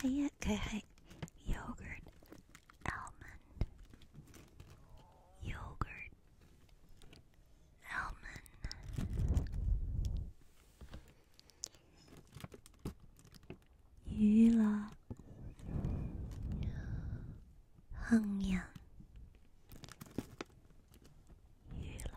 係啊，佢係 yogurt almond yogurt almond 乳酪杏仁乳酪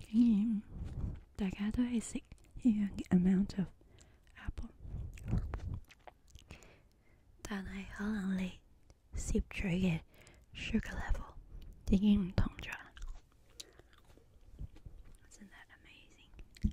竟然大家都係食一樣嘅 amount of apple，但係可能你攝取嘅 sugar level 已經唔同咗啦。Isn't that amazing？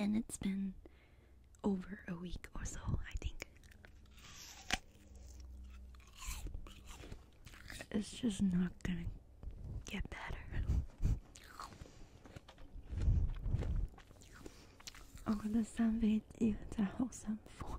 And it it's been over a week or so, I think. It's just not gonna get better. Oh, the sun better. 我覺得生痱滋真係好辛苦。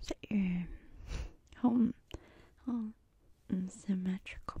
Is that your home? symmetrical.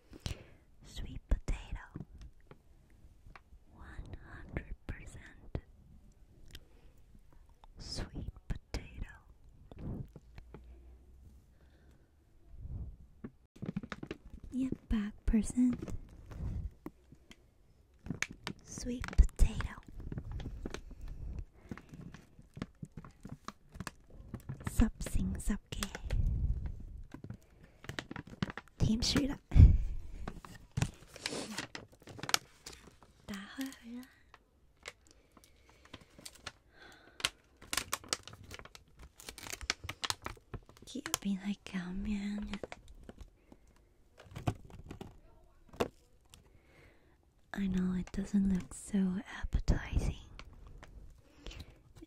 Sweet potato, one hundred percent. Sweet potato. Yep, back percent. Sweet potato. Something, something. 가깝게 힘쓰라 나헐라 기업이 할게 하면 I know it doesn't look so appetizing.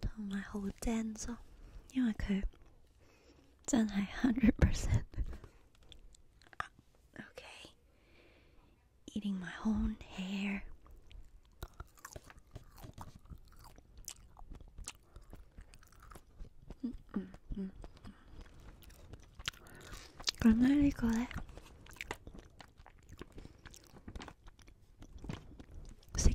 同埋好精咯，因為佢真係 hundred percent。Okay, eating my own hair. Mm -mm -mm. 咁咧呢個咧，食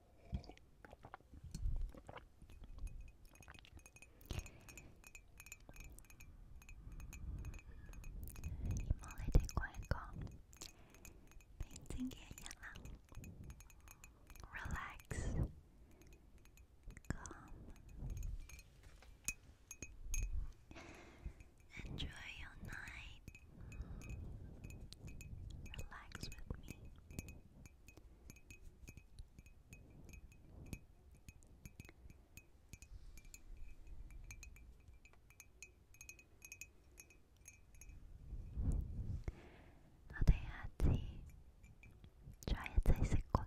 希望你哋過一個平靜嘅日啦，relax，calm，enjoy your night。Relax with me. 너도 해야지. 좋아해져 있을 거야.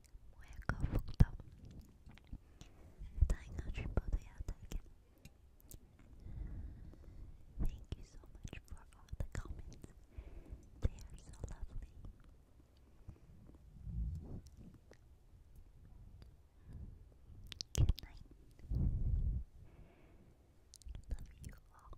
Thank you so much for all the comments. They are so lovely. Good night. Love you all.